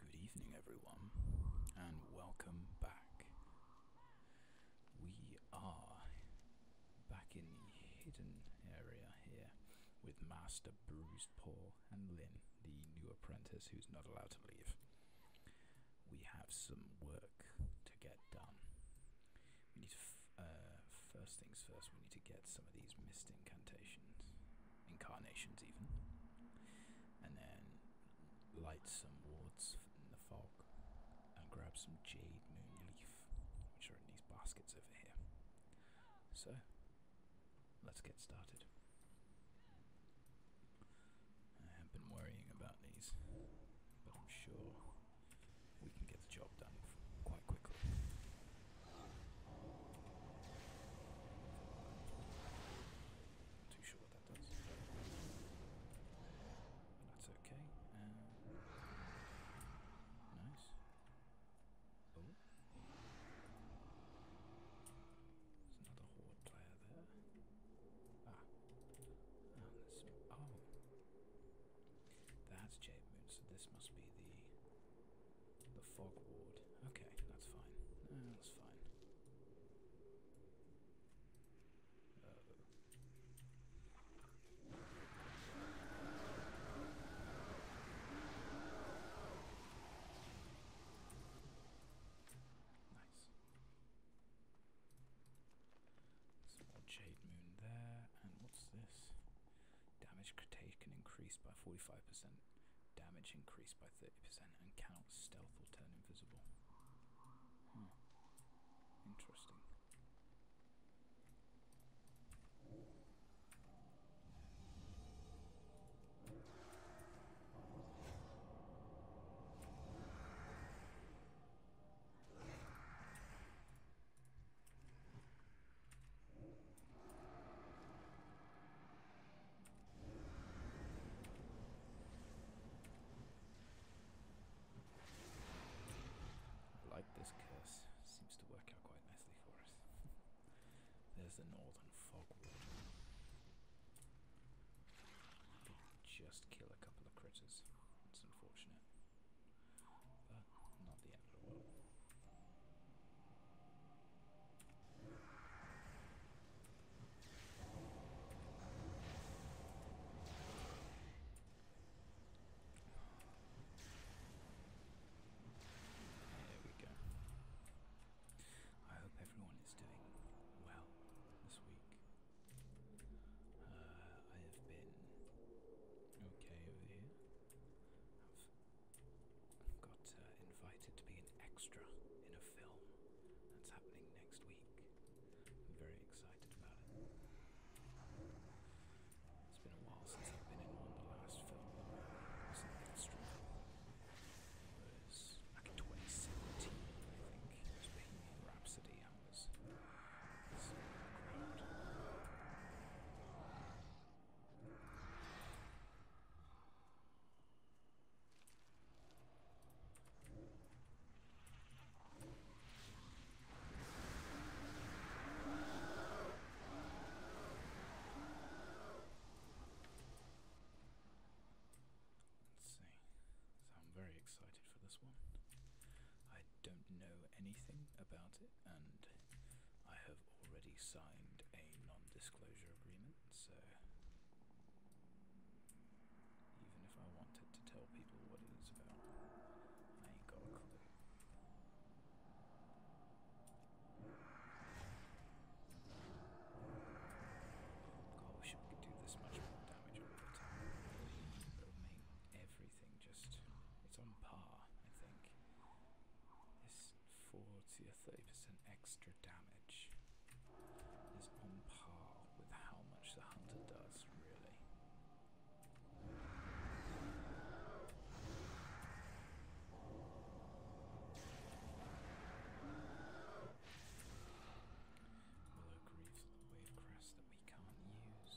Good evening, everyone, and welcome back. We are back in the hidden area here with Master Bruised Paw and Lynn, the new apprentice who's not allowed to leave. We have some work to get done. We need to, uh, first things first, we need to get some of these mist incantations, incarnations even, and then light some wards in the fog and grab some jade moon leaf, which are in these baskets over here. So, let's get started. I have been worrying about these, but I'm sure we can get the job done quite quickly. Not too sure what that does. But that's okay. Um, nice. There's another horde player there. Ah. ah oh. That's Jade Moon, so this must be the the fog ward. Okay, that's fine. that's fine. Uh. Nice. Some more jade moon there, and what's this? Damage taken increased by 45%, damage increased by 30%, and cannot stealth or turn invisible. Hmm. Interesting like this curse. Seems to work out quite nicely for us. There's the northern fogwood. just kill a couple of critters. It's unfortunate. But not There we go. I hope everyone is doing well this week. I have been okay over here. I've got uh, invited to be an extra in a film that's happening next week. am very excited about it. It's been a while since I've been in one. The last film was an 2017, I think. It was Rhapsody. I was uh, Let's see. So I'm very excited for this one. I don't know anything about it, and I have already signed a non-disclosure agreement, so even if I wanted to tell people what it is about, I ain't got a clue. God, we could do this much more damage all the time. everything just. It's on par, I think. This 40 or 30% extra damage is on par with how much the hunter does, really. Willow Greaves Wave Crest that we can't use.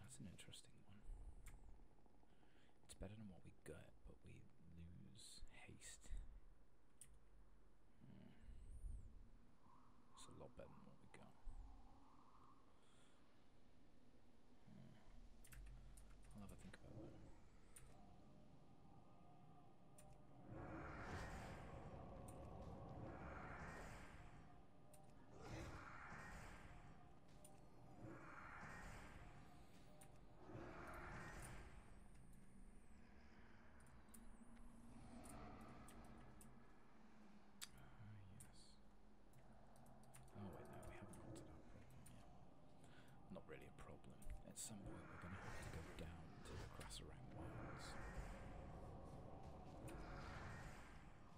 That's an interesting one. It's better than what we got, but we lose haste. Hmm. It's a lot better than what we got. Hmm. I'll have think about that. Ah, oh wait, no, we haven't got to that problem yet. Not really a problem. At some point we're going to have to go down to the Crasserang Wilds.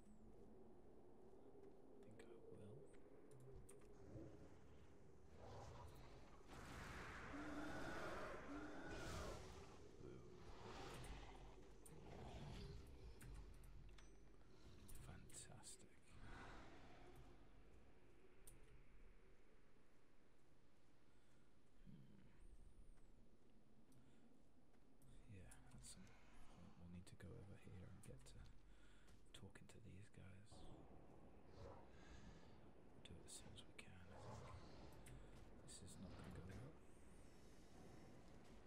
I think I will. Fantastic. Hmm. Yeah, that's We'll, need to go over here and get to talking to these guys. do it as we can, This is not going to go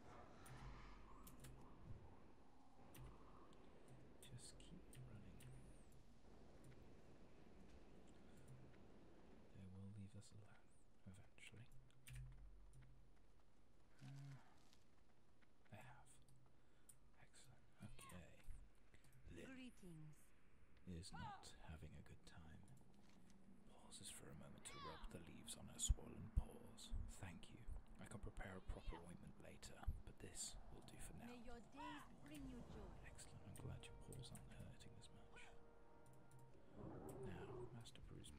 well. Just keep running. They will leave us alone eventually. I have. Excellent. Okay. Greetings. Is not ah. having a good time. Pauses for a moment to rub the leaves on her swollen paws. Thank you. I can prepare a proper ointment later, but this will do for now. Excellent. I'm glad your paws aren't hurting as much. Now, Master Bruce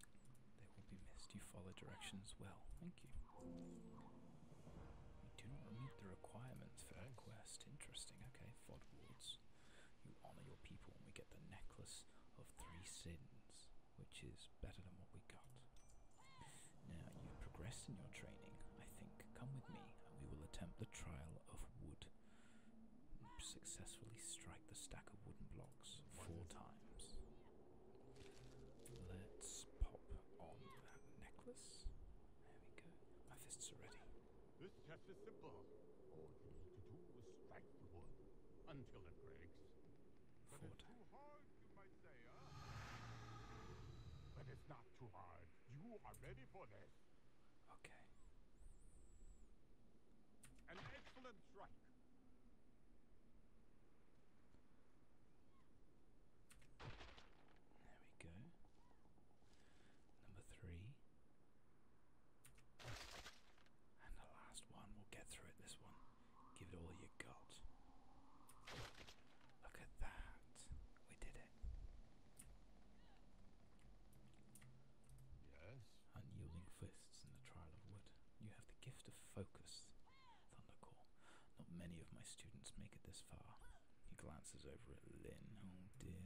they will be missed. You follow directions well. Thank you. You do not meet the requirements for that quest. Interesting. Okay, Fod Wards. You honor your people and we get the necklace of three sins, which is better than what we got. Now, you progress in your training, I think. Come with me and we will attempt the trial of wood Successfully strike the stack of wooden blocks four times. Let's pop on that necklace. There we go. My fists are ready. This test is simple. All you need to do is strike the wood until it breaks. Four times. But it's not too hard. You are ready for this. Okay. An excellent strike. There we go. Number three. And the last one, we'll get through it. This one. Give it all you got. Look at that. We did it. Unyielding fists in the trial of wood. You have the gift of focus, Thundercore. Not many of my students make it this far. He glances over at Lynn. Oh dear.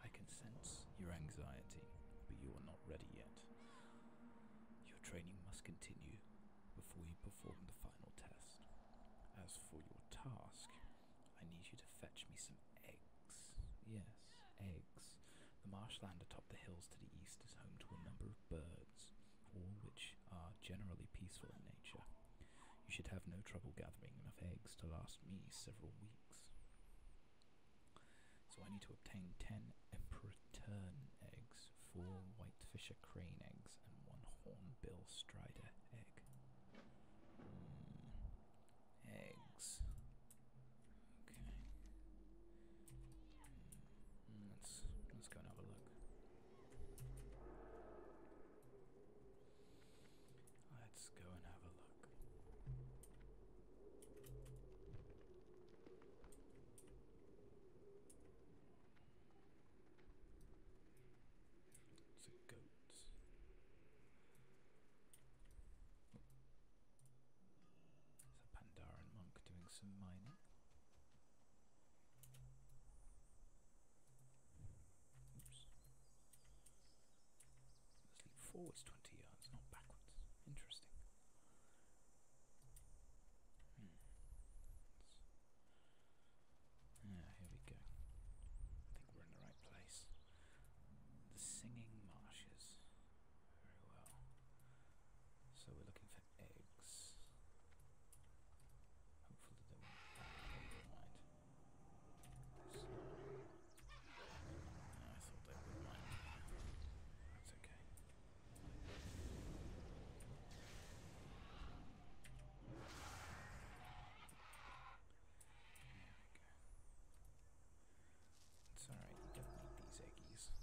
I can sense your anxiety, but you are not ready yet. Your training must continue before you perform the final test. As for your task, I need you to fetch me some eggs. Yes, eggs. The marshland atop the hills to the east is home to a number of birds, all which are generally peaceful in nature. You should have no trouble gathering enough eggs to last me several weeks. So I need to obtain ten emperor tern eggs, four whitefisher crane eggs, and one hornbill strider egg. Hmm, eggs. Okay. Let's let's go and have a look. Let's go and have a look. It's a goat. There's a Pandaran monk doing some mining. Oops. let 20 yards, not backwards. Interesting. Hmm. Ah, here we go. I think we're in the right place. The Singing Marshes. Very well. So we're looking for eggs. Hopefully they won't right. I thought they would mind. That's okay. There we go. It's alright, You don't need these eggies.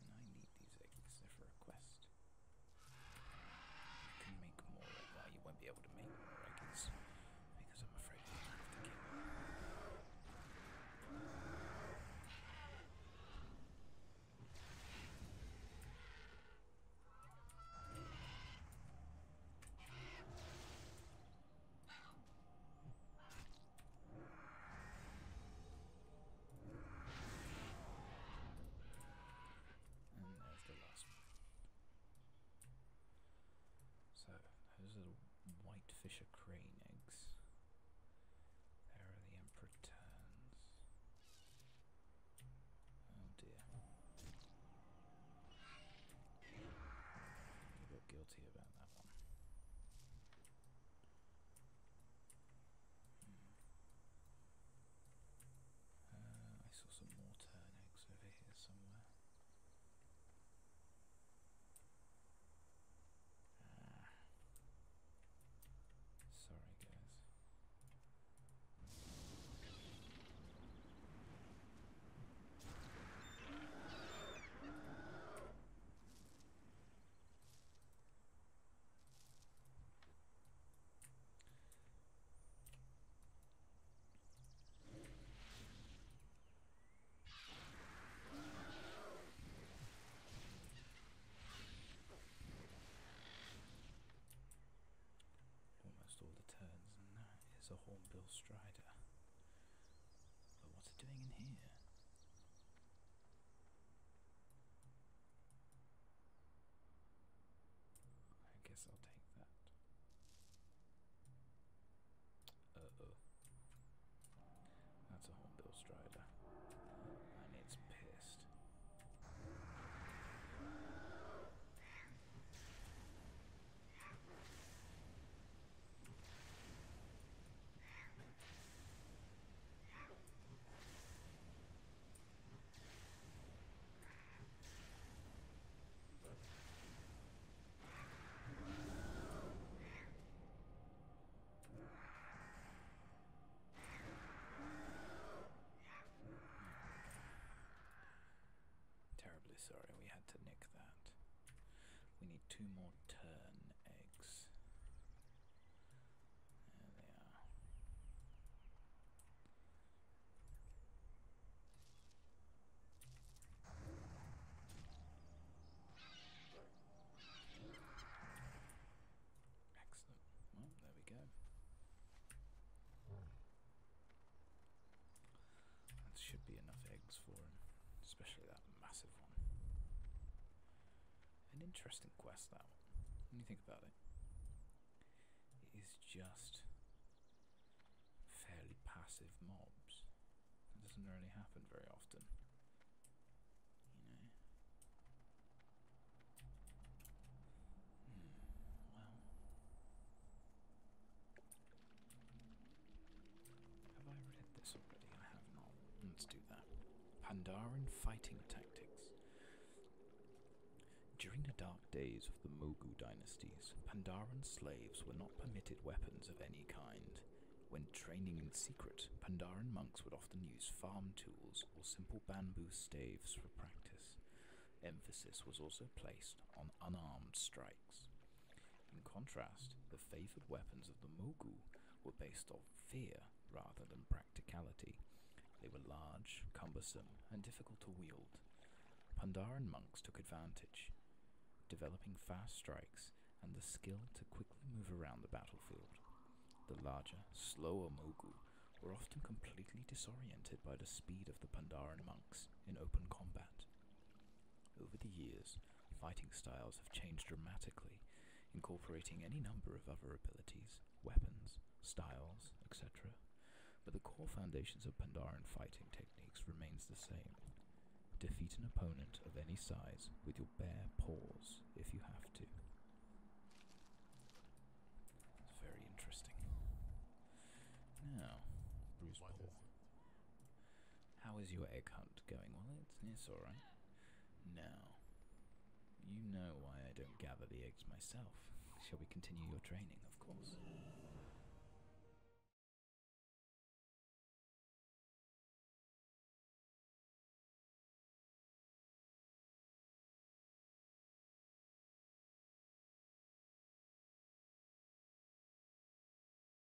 And I need these eggies, they're for a quest. You can make more, well you won't be able to make more eggies, because I'm afraid we'll have and there's the last one. So, those are the whitefisher crane eggs. There are the emperor turns. Oh dear. I got guilty about that one. Hmm. Uh, I saw some more turn over here somewhere. Ah. Sorry, guys. Almost all the turns, and that is a Hornbill Strider. But what's it doing in here? I guess I'll take that. Uh-oh. That's a hornbill strider. And it's pissed. Terribly sorry we had to nick that. We need two more turn eggs. There they are. Excellent. Well, there we go. That should be enough eggs for especially that massive one. An interesting quest, that one. When you think about it, it is just fairly passive mobs. It doesn't really happen very often. You know. Hmm, well. Let's do that. Pandaren Fighting Tactics. During the dark days of the Mogu dynasties, Pandaren slaves were not permitted weapons of any kind. When training in secret, Pandaren monks would often use farm tools or simple bamboo staves for practice. Emphasis was also placed on unarmed strikes. In contrast, the favoured weapons of the Mogu were based on fear rather than practicality. They were large, cumbersome, and difficult to wield. Pandaren monks took advantage, developing fast strikes and the skill to quickly move around the battlefield. The larger, slower Mogu were often completely disoriented by the speed of the Pandaren monks in open combat. Over the years, Fighting styles have changed dramatically, incorporating any number of other abilities, weapons, styles, etc. But the core foundations of Pandaren fighting techniques remains the same. Defeat an opponent of any size with your bare paws if you have to. It's very interesting. Now, how is your egg hunt going? Well, it's, alright. Now, you know why I don't gather the eggs myself. Shall we continue your training, of course?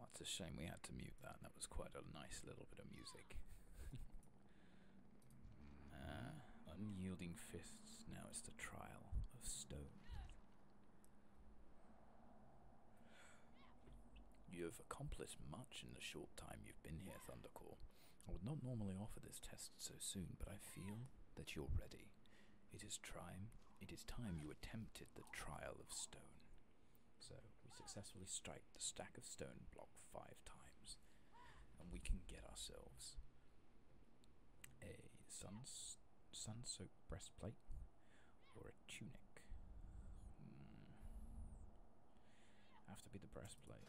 that's a shame we had to mute that. That was quite a nice little bit of music. Uh, unyielding fists. Now it's the trial of stone. You have accomplished much in the short time you've been here, Thundercore. I would not normally offer this test so soon, but I feel that you're ready. It is time. It is time you attempted the trial of stone. So we successfully strike the stack of stone block five times, and we can get ourselves a sun sun-soaked breastplate or a tunic. Hmm. Have to be the breastplate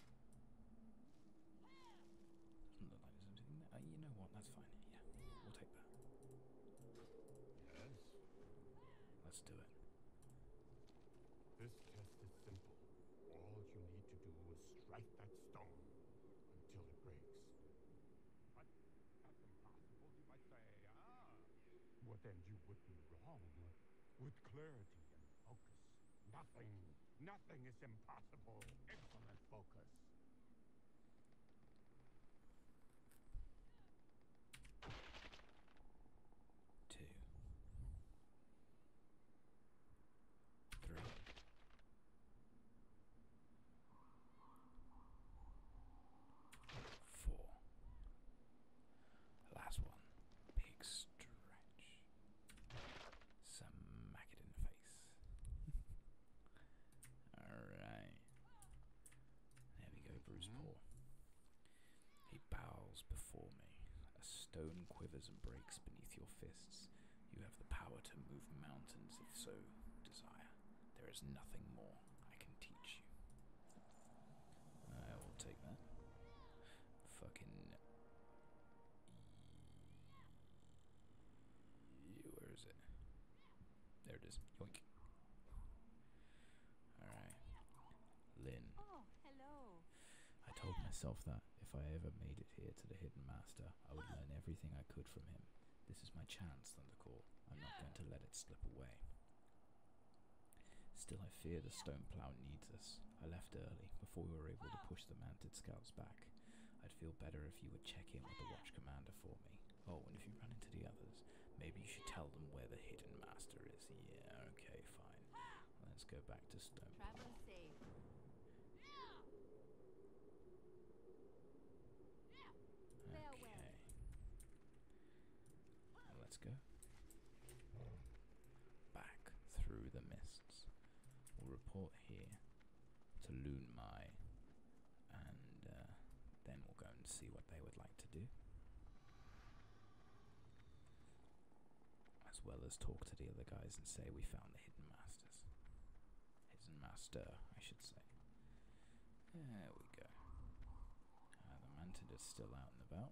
you know what? That's fine. Yeah, we'll take that. Let's do it. This test is simple. All you need to do is strike that stone until it breaks. But impossible, you might say. Ah. Well, then you would be wrong. With Claire focus. Nothing, mm. nothing is impossible. Excellent focus. Two. Three. Four. Last one. Big stretch. Smack it face. Alright. There we go, Bruce mm-hmm. Paul. He bows before me. A stone quivers and breaks beneath your fists. You have the power to move mountains if so desire. There is nothing more I can teach you. I will take that. Fucking where is it? There it is. Alright. Lynn. Oh, hello. I told myself that if I ever made it here to the Hidden Master, I would learn everything I could from him. This is my chance, Thundercall. I'm not going to let it slip away. Still, I fear the stone plow needs us. I left early, before we were able to push the mounted scouts back. I'd feel better if you would check in with the watch commander for me. Oh, and if you run into the others, maybe you should tell them where the hidden master is. Yeah, okay, fine. Let's go back to Stone. Okay. Let's go back through the mists. We'll report here to Loon Mai, and uh, then we'll go and see what they would like to do. As well as talk to the other guys and say we found the hidden masters. Hidden master, I should say. There we go. Uh, the mantid is still out and about.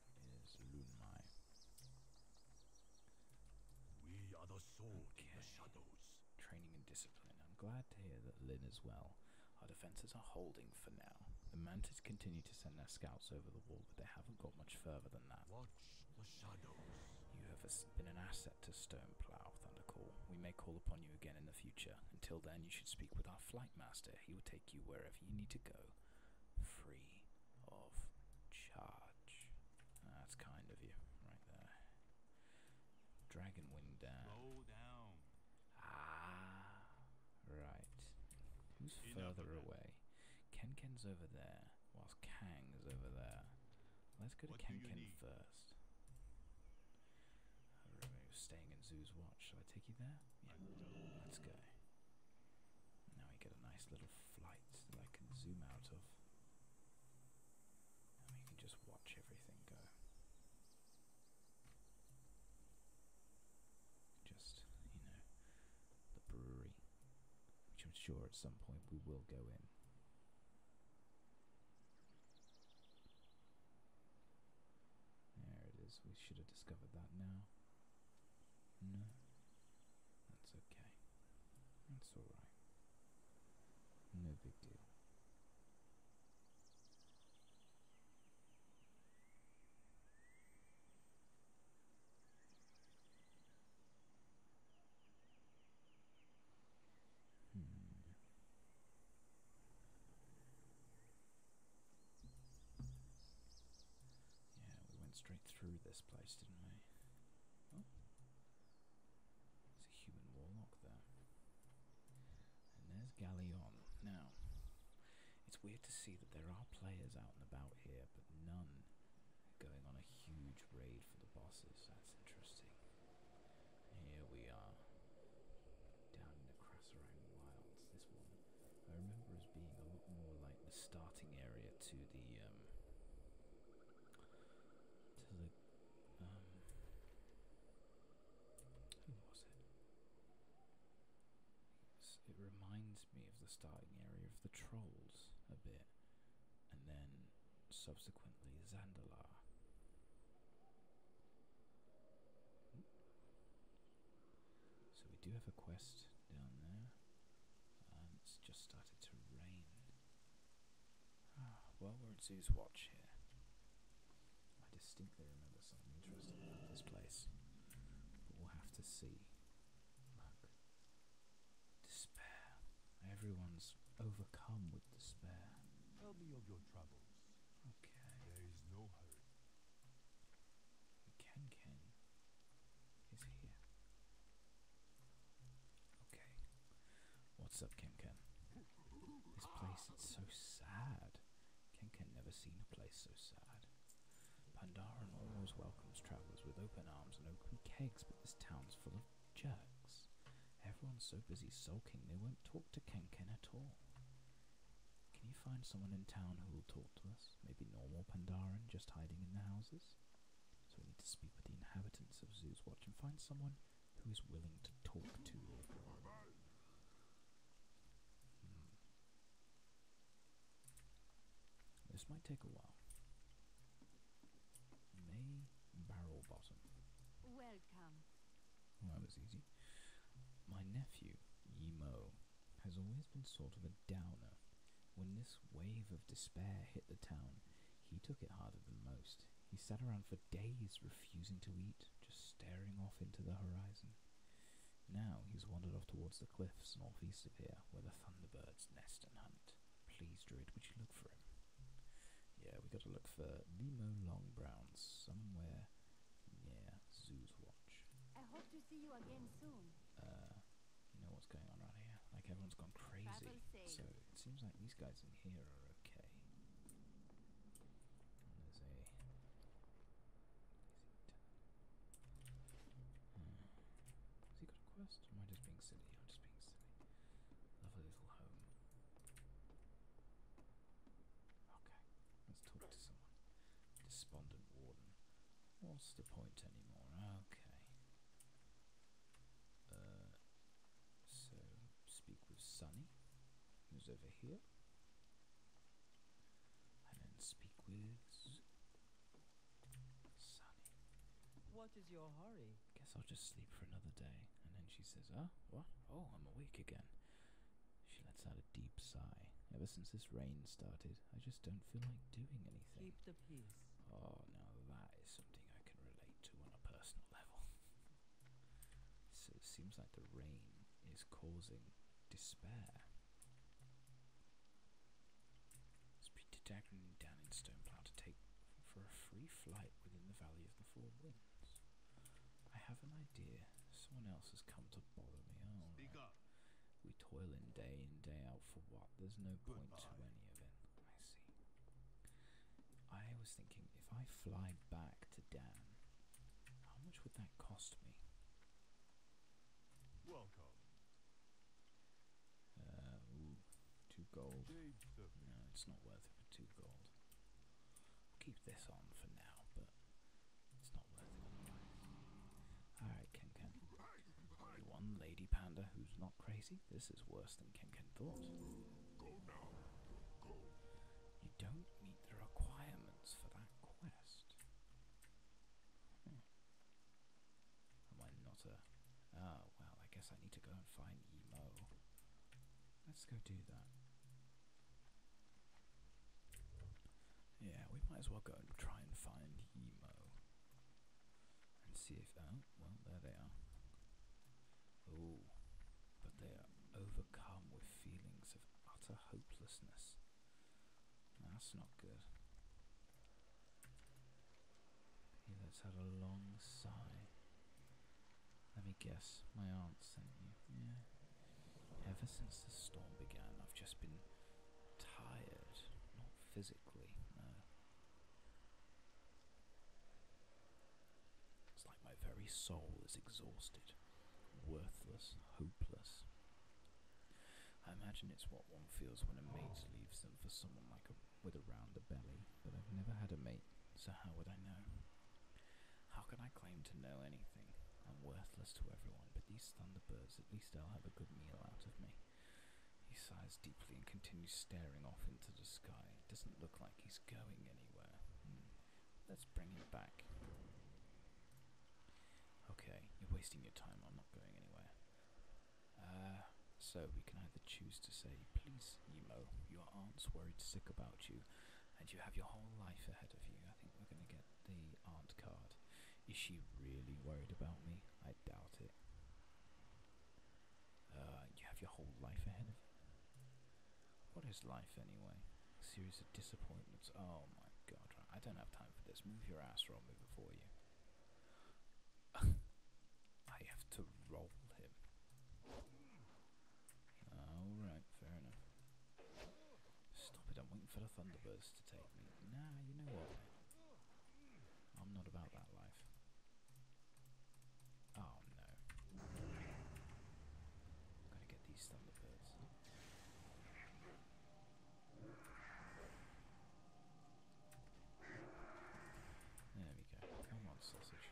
is Lunmai. We are the sword shadows. Training and discipline. I'm glad to hear that Lin is well. Our defenses are holding for now. The Mantis continue to send their scouts over the wall, but they haven't got much further than that. Watch the shadows. You have been an asset to Stoneplow, Thundercall. We may call upon you again in the future. Until then, you should speak with our flight master. He will take you wherever you need to go, free of charge. That's kind of you, right there. Dragon wing down. Ah, right. Who's further away? Kenken's over there, whilst Kang is over there. Let's go to Kenken first. staying at Zoo's watch. Shall I take you there? Yeah. Let's go. Now we get a nice little flight that I can zoom out of. And we can just watch everything go. Just, you know, the brewery, which I'm sure at some point we will go in. There it is. We should have discovered that now. No, that's okay. That's alright. No big deal. Hmm. Yeah, we went straight through this place, didn't we? Oh. a human warlock there. And there's Galleon. Now, it's weird to see that there are players out and about here, but none going on a huge raid for the bosses. That's interesting. Here we are. Down in the Crasserang Wilds, this one. I remember being a lot more like the starting area to the um, to the um was it? it reminds me of the starting area of the trolls a bit, and then subsequently Zandalar. Hmm. So we do have a quest down there. it's just started to rain. Ah, well, we're at Zoo's Watch here. I distinctly remember something interesting about this place. But we'll have to see. Despair. Everyone's overcome with despair. Tell me of your troubles. Okay. There is no hurry. The is here. Okay. What's up, Kenken? This place is so sad. Kenken never seen a place so sad. Pandaren always welcomes travelers with open arms and open kegs, but this town's full of jerks. Everyone's so busy sulking they won't talk to Kenken at all. Can you find someone in town who will talk to us? Maybe normal Pandaren just hiding in the houses? So we need to speak with the inhabitants of Zoo's Watch and find someone who is willing to talk to you. Hmm. This might take a while. May barrel Welcome. that was easy. My nephew, Yemo has always been sort of a downer. When this wave of despair hit the town, he took it harder than most. He sat around for days refusing to eat, just staring off into the horizon. Now he's wandered off towards the cliffs northeast of here, where the thunderbirds nest and hunt. Please, Druid, would you look for him? Yeah, we have gotta look for Nemo Longbrown somewhere near Zoo's Watch. I hope to see you again soon. Uh, you know what's going on right here. Like everyone's gone crazy. So it seems like these guys in here are okay. There's hmm. he got a quest? am I just being silly? I'm just being silly. Lovely little home. Okay, let's talk to someone. Despondent warden. What's the point anymore? Okay. Uh, so, speak with Sunny, who's over here. And then speak with Sunny. What is your hurry? Guess I'll just sleep for another day. And then she says, "Ah, oh, what? Oh, I'm awake again." She lets out a deep sigh. Ever since this rain started, I just don't feel like doing anything. Keep the peace. Oh, now that is something I can relate to on a personal level. so it seems like the rain is causing despair. Speed Daggering down in Stoneplow to take for a free flight within the Valley of the Four Winds. I have an idea. Someone else has come to bother me. Oh, up. We toil in day in, day out for what? There's no point to any of it. I see. I was thinking if I fly back to Dan, how much would that cost me? Welcome. Uh, two gold. No, it's not worth it for two gold. keep this on for now, but it's not worth it Alright, Kenken. one lady panda who's not crazy? This is worse than Kenken thought. You don't meet the requirements for that quest. Hmm. Am I not a... oh, well, I guess I need to go and find Emo. Let's go do that. Yeah, we might as well go and try and find Emo and see if. Oh, well, there they are. Oh, but they are overcome with feelings of utter hopelessness. That's not good. He us had a long sigh. Let me guess, my aunt sent you. Yeah. Ever since the storm began, I've just been tired. Not physically, no. It's like my very soul is exhausted, worthless, hopeless. I imagine it's what one feels when a mate leaves them for someone like a, with a rounder belly, but I've never had a mate, so how would I know? How can I claim to know anything? I'm worthless to everyone, but these thunderbirds at least i will have a good meal out of me. He sighs deeply and continues staring off into the sky. It doesn't look like he's going anywhere. Hmm. Let's bring him back. Okay, you're wasting your time. I'm not going anywhere. Uh, so we can either choose to say, please, Nemo, your aunt's worried sick about you, and you have your whole life ahead of you. I think we're going to get the aunt card. Is she really worried about me? I doubt it. Uh, you have your whole life ahead of you. What is life anyway? A series of disappointments. Oh my god, I don't have time for this. Move your ass or I'll move it you. I have to roll him. Alright, fair enough. Stop it, I'm waiting for the Thunderbirds to take me. Nah, you know what? I'm not about that life. Oh no. Gotta get these thunderbirds. There we go. Come on, sausage.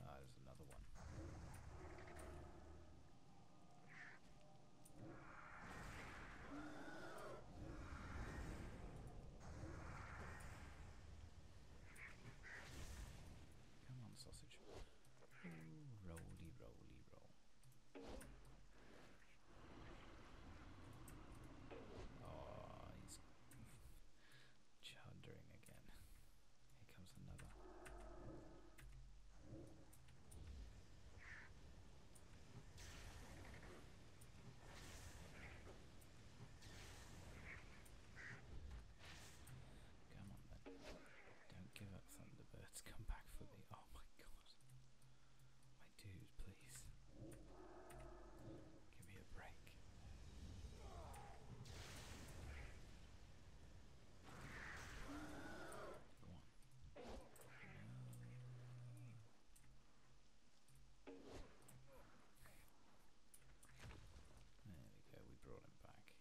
Ah, there's another one. Come on, sausage. Ooh, roly, roly, roll. Oh, he's chuddering again. Come on then. Don't give up Thunderbirds. Come back for me. Oh my god. My dude, please. Give me a break. There we go, we brought him back.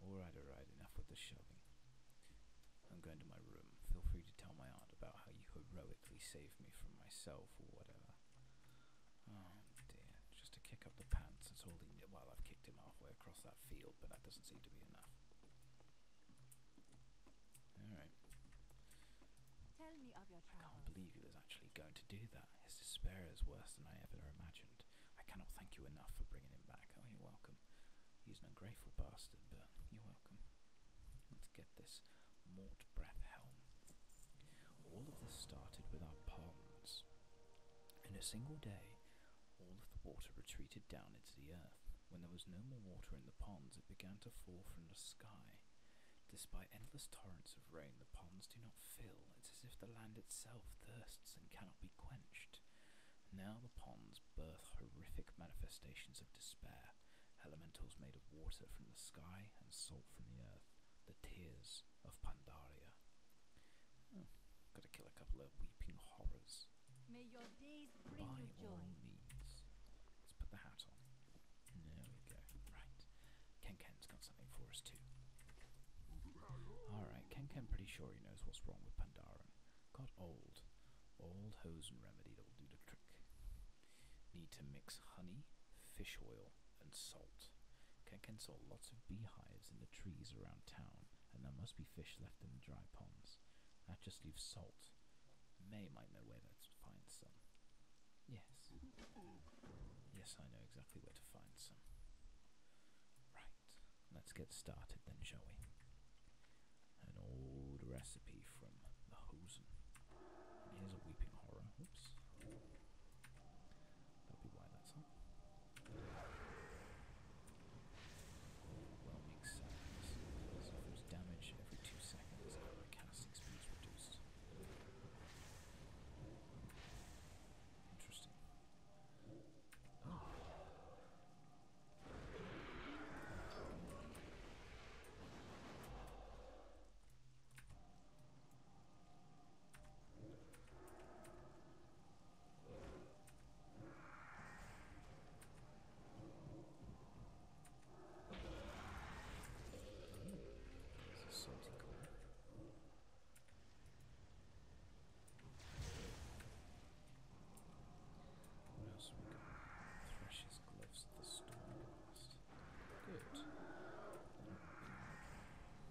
Alright, alright, enough with the shoving. I'm going to my room. Feel free to tell my aunt about how you heroically saved me from myself or whatever. Oh dear, just to kick up the pants, that's all he well i halfway across that field, but that doesn't seem to be enough. Alright. Tell me of your travels. I can't believe he was actually going to do that. His despair is worse than I ever imagined. I cannot thank you enough for bringing him back. Oh, you're welcome. He's an ungrateful bastard, but you're welcome. Let's get this mort breath helm. All of this started with our ponds. In a single day, all of the water retreated down into the earth. When there was no more water in the ponds, it began to fall from the sky. Despite endless torrents of rain, the ponds do not fill. It's as if the land itself thirsts and cannot be quenched. Now the ponds birth horrific manifestations of despair. Elementals made of water from the sky and salt from the earth, the tears of Pandaria. Oh, gotta kill a couple of weeping horrors. May your days bring By you all joy. means. Let's put the hat on. There we go. Right. Ken Ken's got something for us too. Alright, Ken Ken pretty sure he knows what's wrong with Pandaren. Got old. Old hosen remedy that'll do the trick. Need to mix honey, fish oil, and salt. Ken Ken saw lots of beehives in the trees around town and there must be fish left in the dry ponds. That just leaves salt. May might know where to find some. Yes. Yes, I know exactly where to find some. Right, let's get started then, shall we? An old recipe from the Hosen. here's a weeping horror. Oops. That'll be why that's up. Overwhelming sadness. Suffers damage every two seconds and the casting speed reduced. Interesting. Oh. This seems like a word. What else we got? Thresh's gloves, the storm blast. Good. That'll be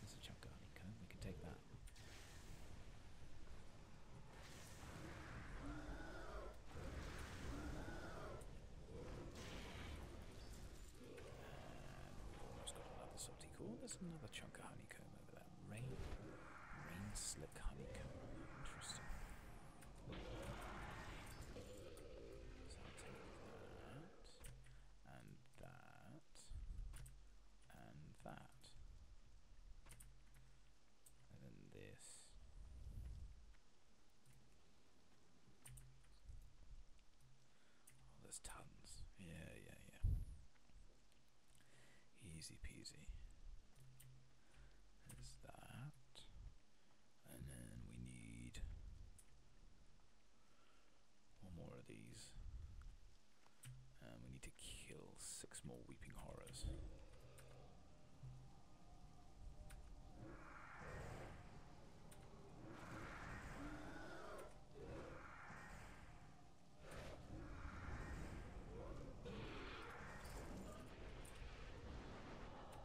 There's a chunk of honeycomb. We can take that. And got another salty There's another chunk of honeycomb over there. Rain, rain slick honeycomb. Interesting. So that and that and that. And then this. Oh, there's tons. Yeah, yeah, yeah. Easy peasy. There's that and then we need one more of these. And we need to kill six more weeping horrors.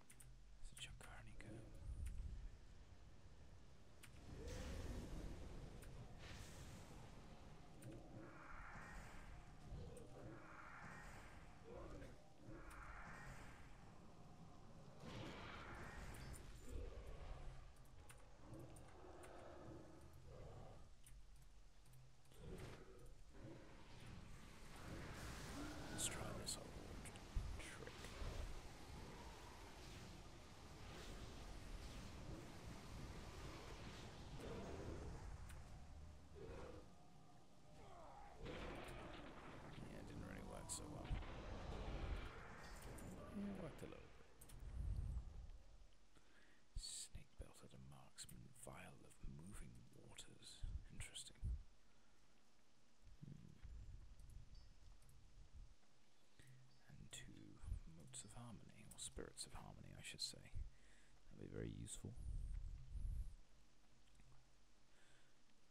It's a Jacarnica. Let's try this old trick. Yeah, it didn't really work so well. worked a little bit. Snake belted a marksman vial of moving waters. Interesting and to motes of harmony, or spirits of harmony, I should say. That'd be very useful.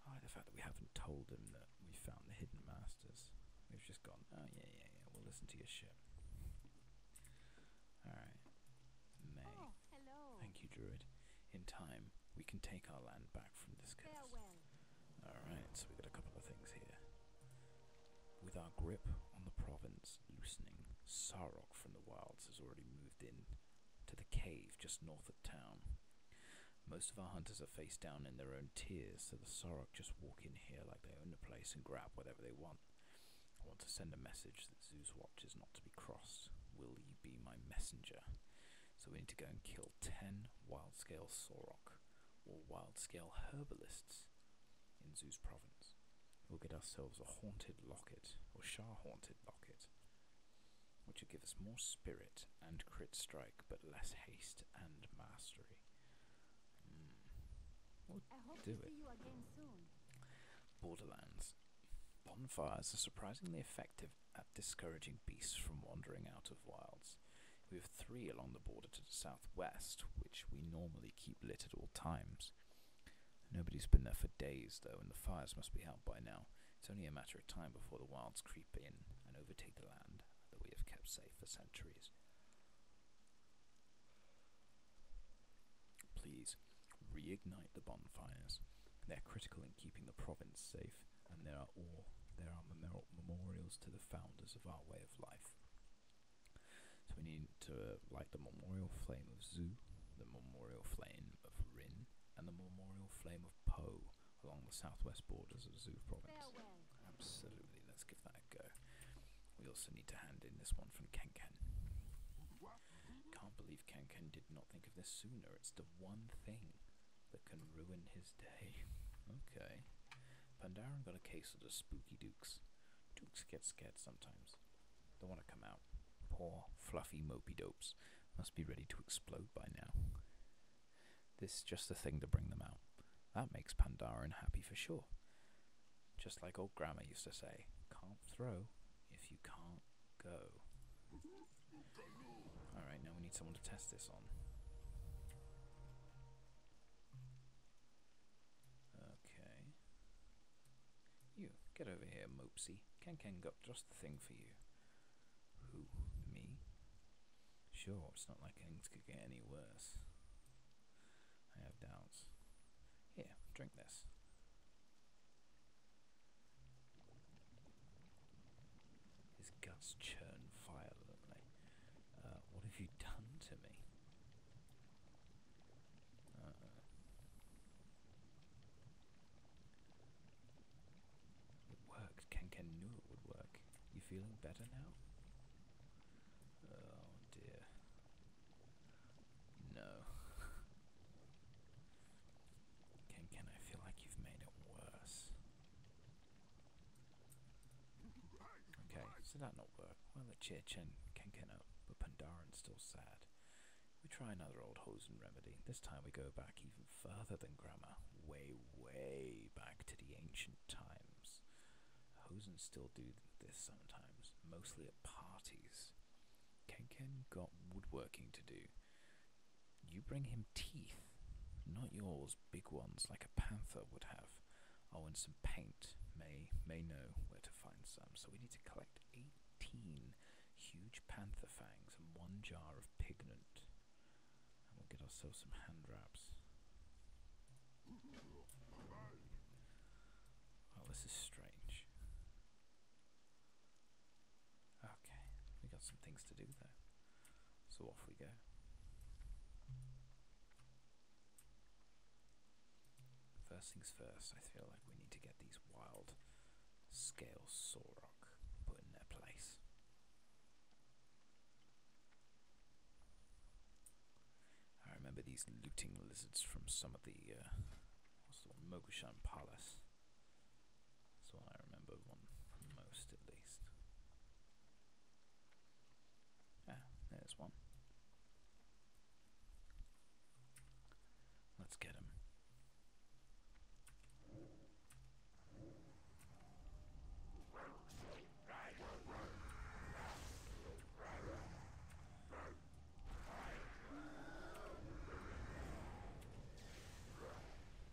I the fact that we haven't told him that we found the hidden masters. We've just gone, oh yeah, yeah, yeah, we'll listen to your shit. Alright. May. Hello. Thank you, Druid. In time, we can take our land back from this curse. Alright, so we've got a couple of things here. With our grip on the province loosening, Sarok from the wilds has already moved in to the cave just north of town. Most of our hunters are face down in their own tears, so the Sarok just walk in here like they own the place and grab whatever they want. I want to send a message that Zeus Watch is not to be crossed. Will be my messenger? So we need to go and kill 10 wild scale Sorok or wild scale herbalists in Zeus province. We'll get ourselves a haunted locket or Shah haunted locket, which will give us more spirit and crit strike but less haste and mastery. Hmm. We'll do it. Borderlands. Bonfires are surprisingly effective at discouraging beasts from wandering out of wilds. We have three along the border to the southwest, which we normally keep lit at all times. Nobody's been there for days, though, and the fires must be out by now. It's only a matter of time before the wilds creep in and overtake the land that we have kept safe for centuries. Please, reignite the bonfires. They're critical in keeping the province safe, and there are all there are memorials to the founders of our way of life. So we need to light the memorial flame of Zu, the memorial flame of Rin, and the memorial flame of Po along the southwest borders of Zu province. Absolutely, let's give that a go. We also need to hand in this one from Kenken. Can't believe Kanken did not think of this sooner. It's the one thing that can ruin his day. okay. Pandaren got a case of the spooky dukes. Dukes get scared sometimes. Don't want to come out. Poor, fluffy mopey dopes. Must be ready to explode by now. This is just the thing to bring them out. That makes Pandaren happy for sure. Just like old Grandma used to say, can't throw if you can't go. Alright, now we need someone to test this on. Okay. You, get over here, Mopsy. Ken Ken got just the thing for you. Who? Me? Sure, it's not like things could get any worse. I have doubts. Here, drink this. His guts churn violently. Uh, what have you done to me? Uh -oh. It worked. Kanken knew it would work. You feeling better now? Oh dear. No. Again, I feel like you've made it worse. Okay, so that not work. well, the chair chen up, uh, but Pandaren still sad. We try another old hosen remedy. This time we go back even further than grammar. Way, way back to the ancient times. Hosen still do this sometimes, mostly at parties. Kenken got woodworking to do you bring him teeth, not yours, big ones like a panther would have. Oh, and some paint may may know where to find some. So we need to collect eighteen huge panther fangs and one jar of pigment, and we'll get ourselves some hand wraps. Oh, this is strange. Okay, we got some things to do though. So off we go. First things first, I feel like we need to get these wild scale Sorok put in their place. I remember these looting lizards from some of the, uh, the Mogushan Palace. That's what I remember one most, at least. Ah, there's one. Let's get him.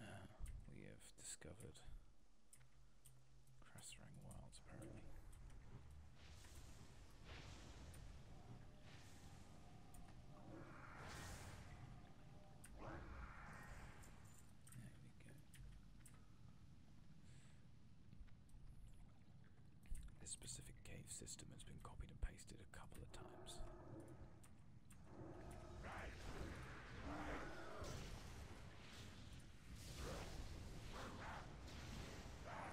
Uh, we have discovered Crasserang Wilds, apparently. There we go. This specific cave system has been copied and pasted a couple of times.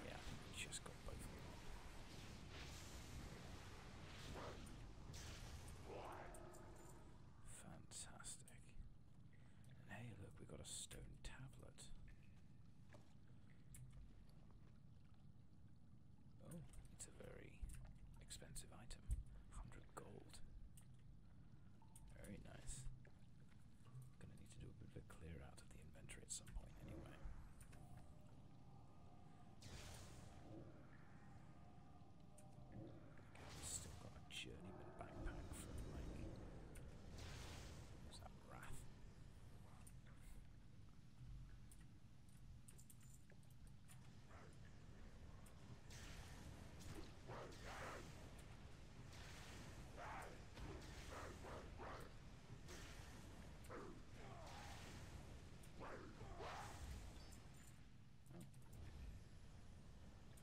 Yeah, just got both Fantastic. And hey, look, we got a stone tablet. Oh, it's a very expensive item. 100 gold. Very nice. Gonna need to do a bit of a clear out of the inventory at some point, anyway. still got journeyman backpack from like was that Wrath? Oh.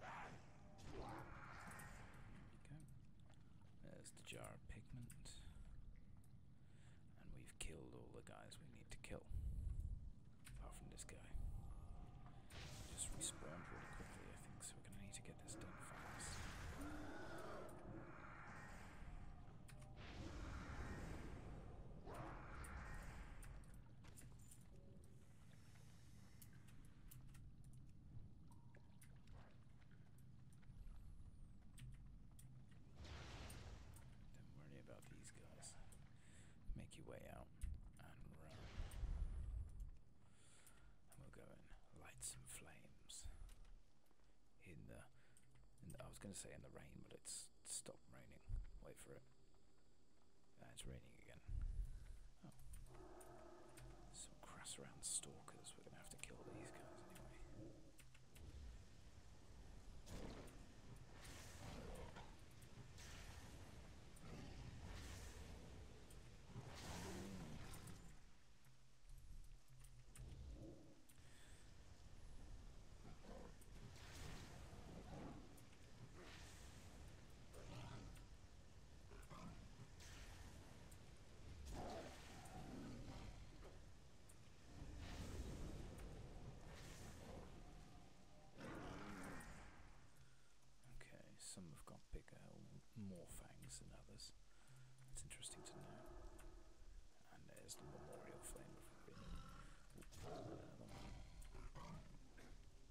There There's the jar of pigment. And we've killed all the guys we need to kill. Apart from this guy. just respawned really quickly, I think, so we're gonna need to get this done don't worry about these guys. Make your way out and run. we'll go light some flames. in the I was going to say in the rain, but it's stopped raining. Wait for it it's raining again. Oh. Some crass around stalkers. We're going to have to kill these guys anyway. Okay, some have got bigger more fangs than others. It's interesting to know. And there's the memorial flame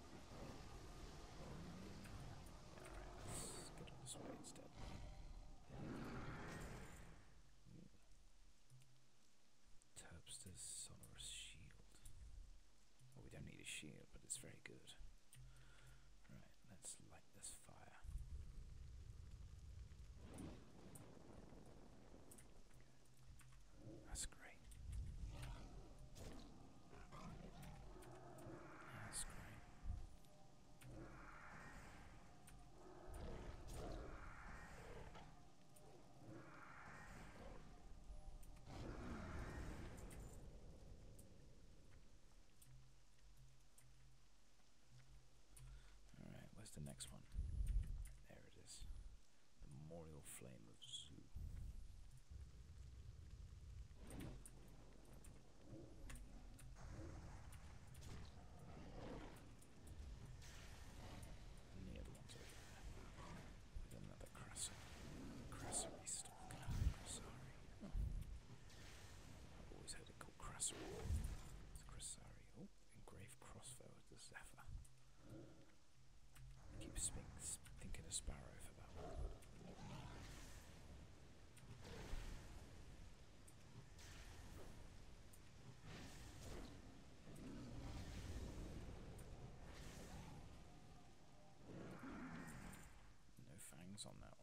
Alright, let this way instead. sonorous shield. we don't need a shield, but it's very good. Right, let's light this fire. That's great. That's great. All right, where's the next one? There it is. Memorial Flame and the other With another crasser. Crassery stock. Crasari. Oh. I've always heard it called Crassery. It's Crasari. engraved crossbow with the Zephyr. keep thinking a sparrow for that one. No fangs on that one.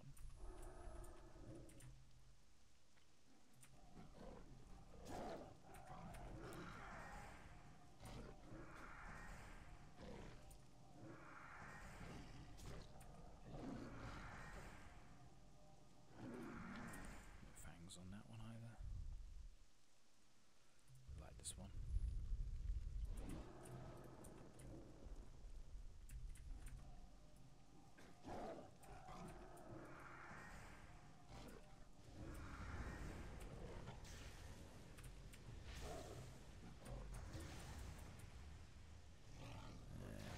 No fangs on that one either. I like this one. There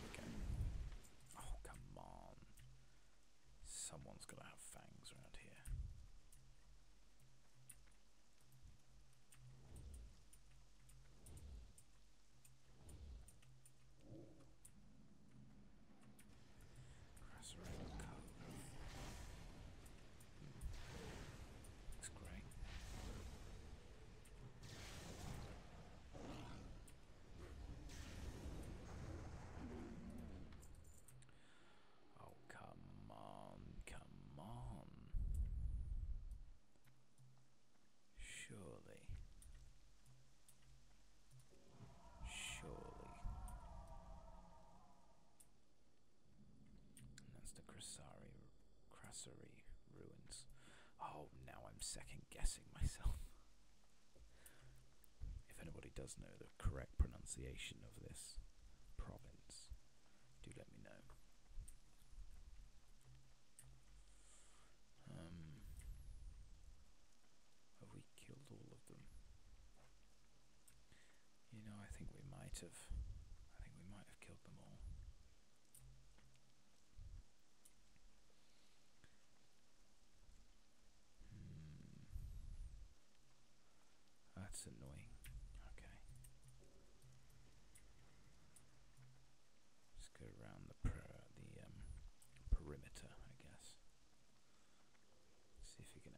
we go. Oh, come on. Someone's got to have fangs around here. Grass around the cove. Oh, come on, come on. Surely. Surely that's the Krasari, Krasari ruins. Oh, now I'm second guessing myself. if anybody does know the correct pronunciation of this province, do let me know. Um, have we killed all of them? You know, I think we might have. I think we might have killed them all. That's annoying. Okay. Let's go around the per the um, perimeter, I guess. See if we can.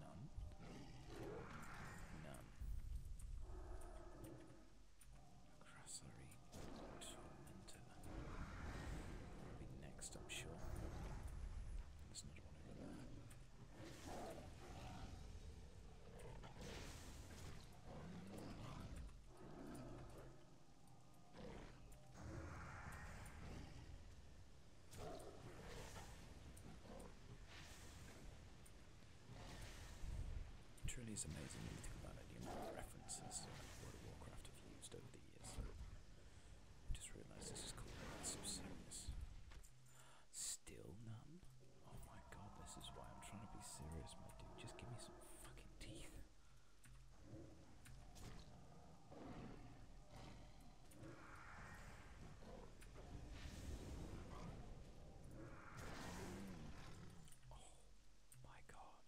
None. None. Crassery Tormentor. That'll be next, I'm sure. There's another one over there truly is amazing when you think about it, the of references World of Warcraft have used over the years. just realised this is called Serious. Still none? Oh my god, this is why I'm trying to be serious, my dude. Just give me some fucking teeth. Oh my god.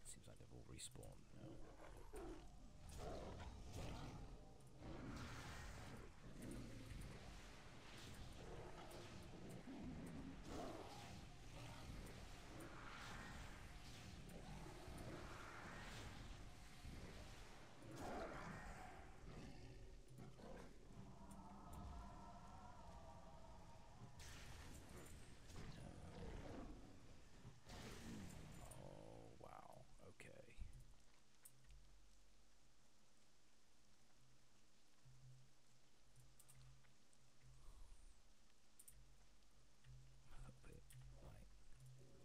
It seems like they've all respawned now. Oh, wow. Okay.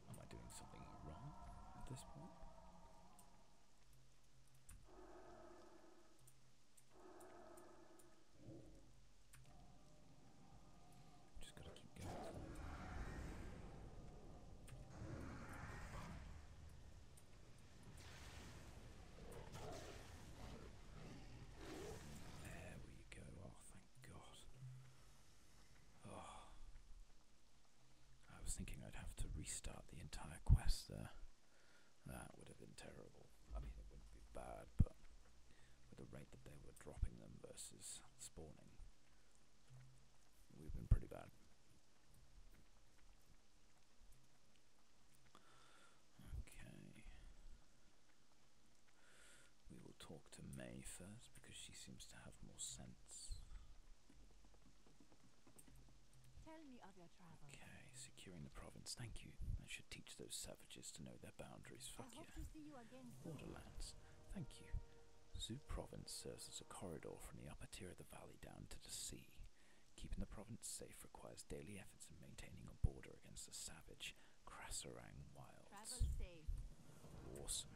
am I doing something wrong at this point? Just gotta keep going. There we go. Oh, thank God. Oh, I was thinking I'd have to restart the entire quest there. That would have been terrible. I mean, it wouldn't be bad, but with the rate that they were dropping them versus spawning, we've been pretty bad. Okay. We will talk to May first because she seems to have more sense. Tell me of your travels. Okay, securing the province. Thank you. I should teach those savages to know their boundaries. Fuck I yeah. You Waterlands. Thank you. Zoo Province serves as a corridor from the upper tier of the valley down to the sea. Keeping the province safe requires daily efforts in maintaining a border against the savage Krasarang wilds. Awesome.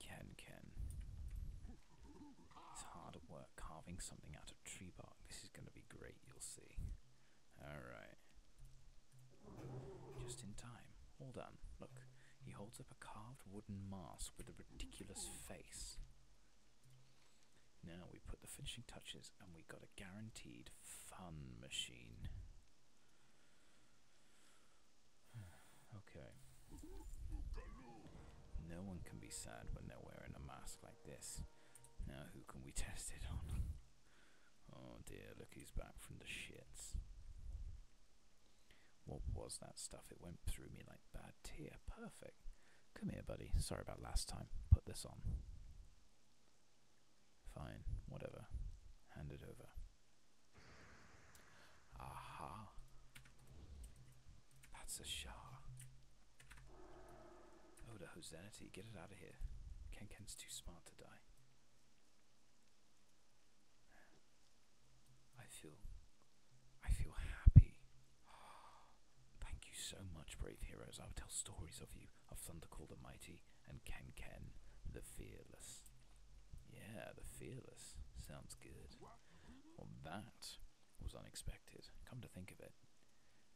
Ken, Ken. It's hard at work carving something out of tree bark. This is going to be great, you'll see. Alright. Just in time. Hold on, Look, he holds up a carved wooden mask with a ridiculous face. Now we put the finishing touches and we got a guaranteed fun machine. Okay. No one can be sad when they're wearing a mask like this. Now who can we test it on? oh dear, look he's back from the shits. What was that stuff? It went through me like bad tear. Perfect. Come here, buddy. Sorry about last time. Put this on. Fine, whatever. Hand it over. Aha. That's a Shah. Oh, the Hosanity, get it out of here. Ken Ken's too smart to die. I feel. I feel happy. Thank you so much, brave heroes. I'll tell stories of you, of Thundercall the Mighty and Ken Ken the Fearless. Yeah, the Fearless. Sounds good. Well, that was unexpected, come to think of it.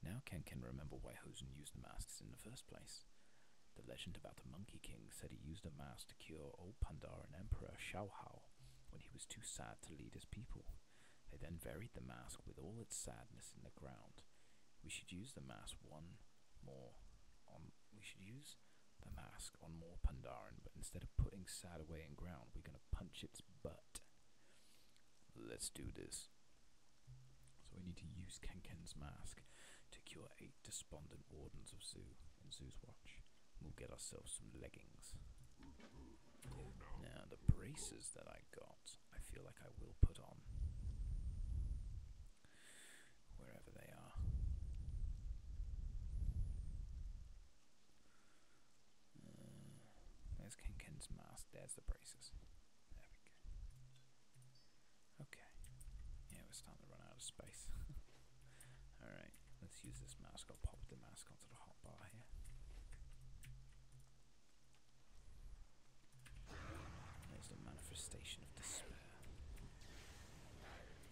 Now Ken can remember why Hosen used the masks in the first place. The legend about the Monkey King said he used a mask to cure old Pandar and Emperor Xiaohao when he was too sad to lead his people. They then buried the mask with all its sadness in the ground. We should use the mask one more. we should use the mask task more Pandaren, but instead of putting Sad away in ground, we're going to punch its butt. Let's do this. So we need to use Kenken's mask to cure eight despondent wardens of Zoo And Zoo's watch. We'll get ourselves some leggings. Now, the braces that I got, I feel like I will put on wherever they are. Uh, there's Ken mask, there's the braces. There we go. Okay. Yeah, we're starting to run out of space. Alright, let's use this mask. I'll pop the mask onto the hot bar here. There's the manifestation of despair.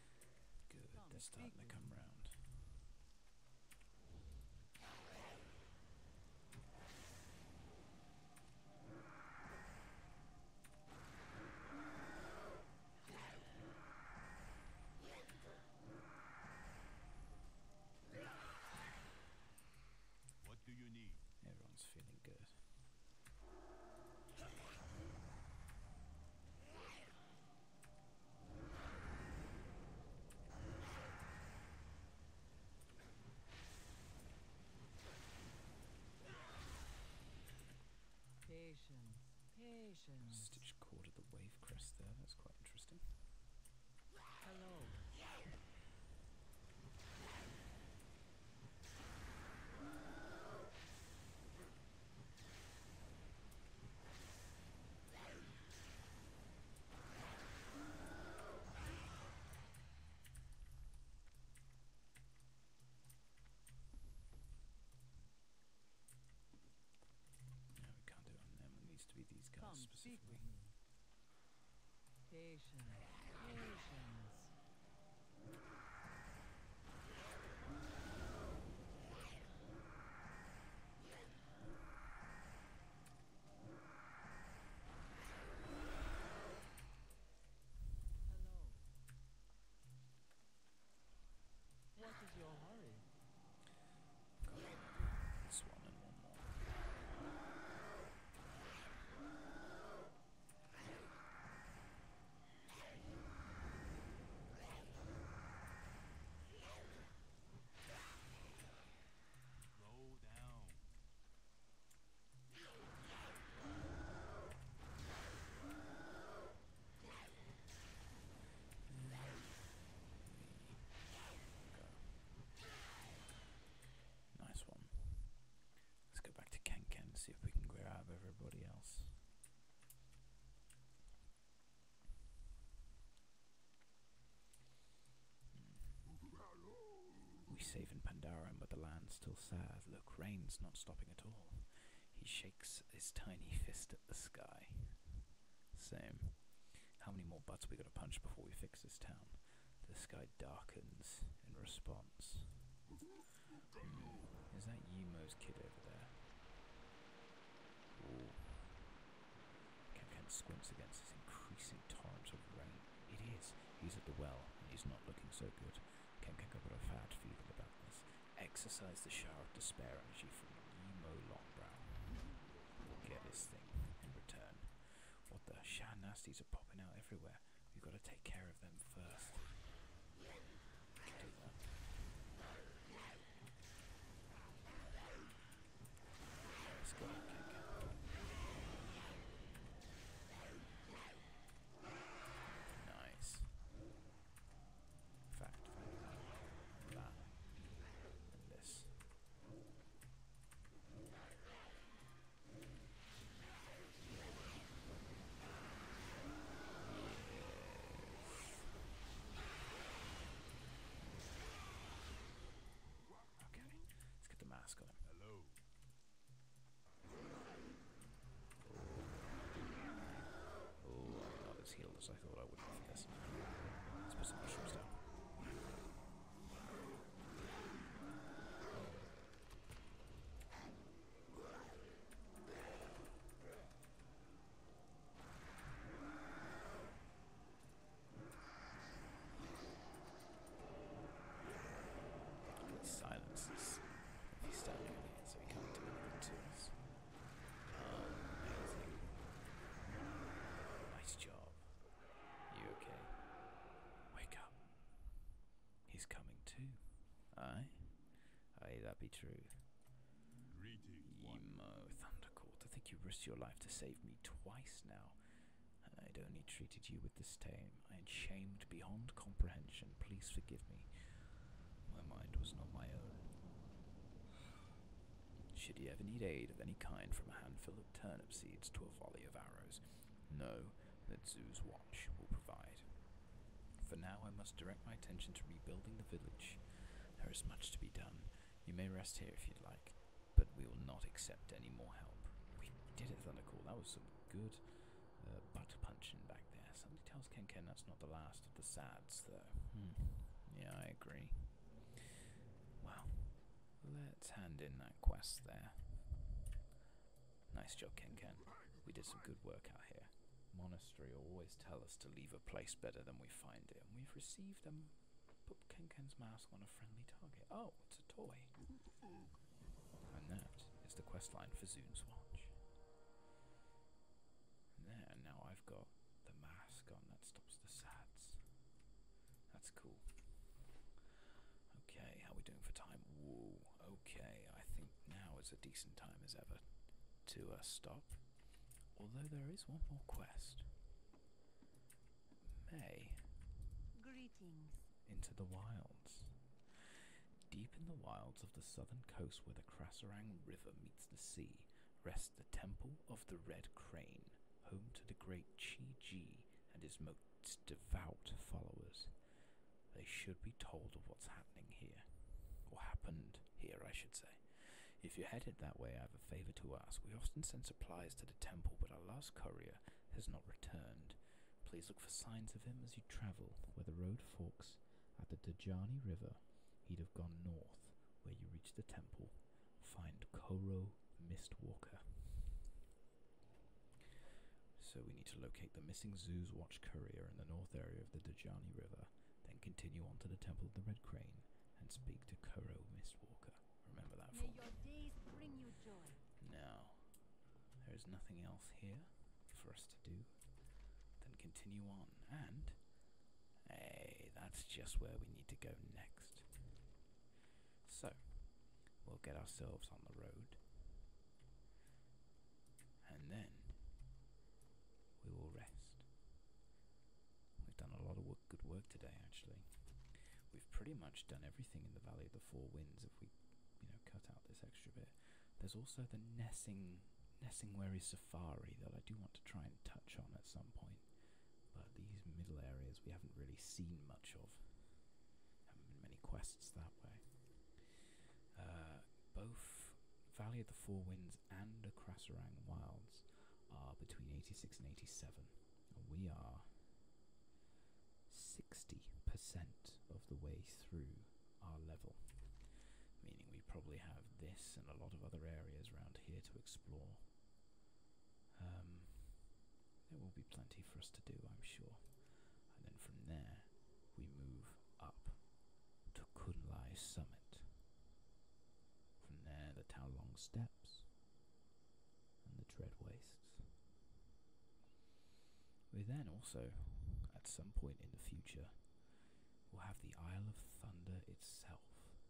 Good, that's starting to come round. What do you need? Everyone's feeling good. Patience, patience. Stitch cord at the wave crest there, that's quite interesting. Hello. No, we can't do it on them. It needs to be these guys Come, specifically. Patience. Patience. What is your hurry? This one and one more. Nice one. Let's go back to Kankan and see if we can grab everybody else. Hmm. We save in Pandaren, but the land's still sad. Look, rain's not stopping at all. He shakes his tiny fist at the sky. Same. How many more butts we gotta punch before we fix this town? The sky darkens in response. Is that Yemo's kid over there? Ooh. Kankan squints against this increasing torrent of rain. It is. He's at the well, and he's not looking so good. Can't Kankan got a bad feeling about this. Exercise the shower of despair energy from Yemo Longbrow. Get this thing in return. What the? shan? nasties are popping out everywhere. We've got to take care of. 1st Nice. Fact, fact, that, and this. Okay, let's get the mask on him. Hello. Oh, oh I'm not as healed as I thought I would be this. Let's put some mushrooms down. Silences. If he's standing in here, so he can't do anything to us. Um, amazing. Nice job. You okay? Wake up. He's coming too. Aye? Ay, that be true. Emo Thundercourt, I think you risked your life to save me twice now. I'd only treated you with disdain. I had shamed beyond comprehension. Please forgive me. My mind was not my own. Should you ever need aid of any kind from a handful of turnip seeds to a volley of arrows? No, that's Zeus she will provide. For now, I must direct my attention to rebuilding the village. There is much to be done. You may rest here if you'd like, but we will not accept any more help. We did it, Thundercall. That was some good uh, butt punching back there. Somebody tells Ken Ken that's not the last of the sads, though. Hmm. Yeah, I agree. Well, let's hand in that quest there. Nice job, Ken Ken. We did some good work out here monastery always tell us to leave a place better than we find it, and we've received them. um, put Kenken's mask on a friendly target. Oh, it's a toy. And that is the quest line for Zoon's Watch. there, now I've got the mask on. That stops the sads. That's cool. Okay, how we doing for time? Whoa okay, I think now is a decent time as ever to uh, stop. Although there is one more quest. May. Greetings. Into the wilds. Deep in the wilds of the southern coast where the Krasarang River meets the sea rests the Temple of the Red Crane, home to the great Chi Ji and his most devout followers. They should be told of what's happening here. Or happened here, I should say. If you're headed that way, I have a favor to ask. We often send supplies to the temple, but our last courier has not returned. Please look for signs of him as you travel. Where the road forks at the Dajani River, he'd have gone north. Where you reach the temple, find Koro Mistwalker. So we need to locate the missing Zoo's Watch courier in the north area of the Dajani River then continue on to the Temple of the Red Crane and speak to Kuro Miss Walker. Remember that May your days Now, there is nothing else here for us to do. Then continue on, and hey, that's just where we need to go next. So, we'll get ourselves on the road and then we will rest. We've done a lot of good work today, actually. We've pretty much done everything in the Valley of the Four Winds. If we, you know, cut out this extra bit, there's also the Nessing Nessingwary Safari that I do want to try and touch on at some point. But these middle areas we haven't really seen much of. Haven't been many quests that way. Uh, both Valley of the Four Winds and the Crasserang Wilds are between 86 and 87. And we are 60% of the way through our level, meaning we probably have this and a lot of other areas around here to explore. Um, there will be plenty for us to do, I'm sure. And then from there, we move up to Kunlai Summit. From there, the Taolong Steps and the Dread Wastes. We then also, at some point in the future, will have the Isle of Thunder itself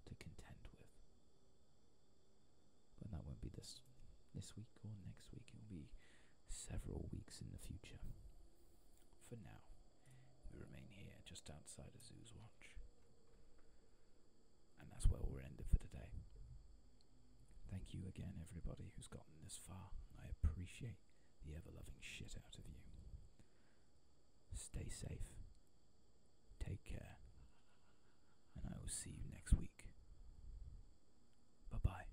to contend with. But that won't be this this week or next week. It will be several weeks in the future. For now. We remain here, just outside a Zoo's Watch. And that's where we are end for today. Thank you again, everybody who's gotten this far. I appreciate the ever loving shit out of you. Stay safe. Take care. And I will see you next week. Bye bye.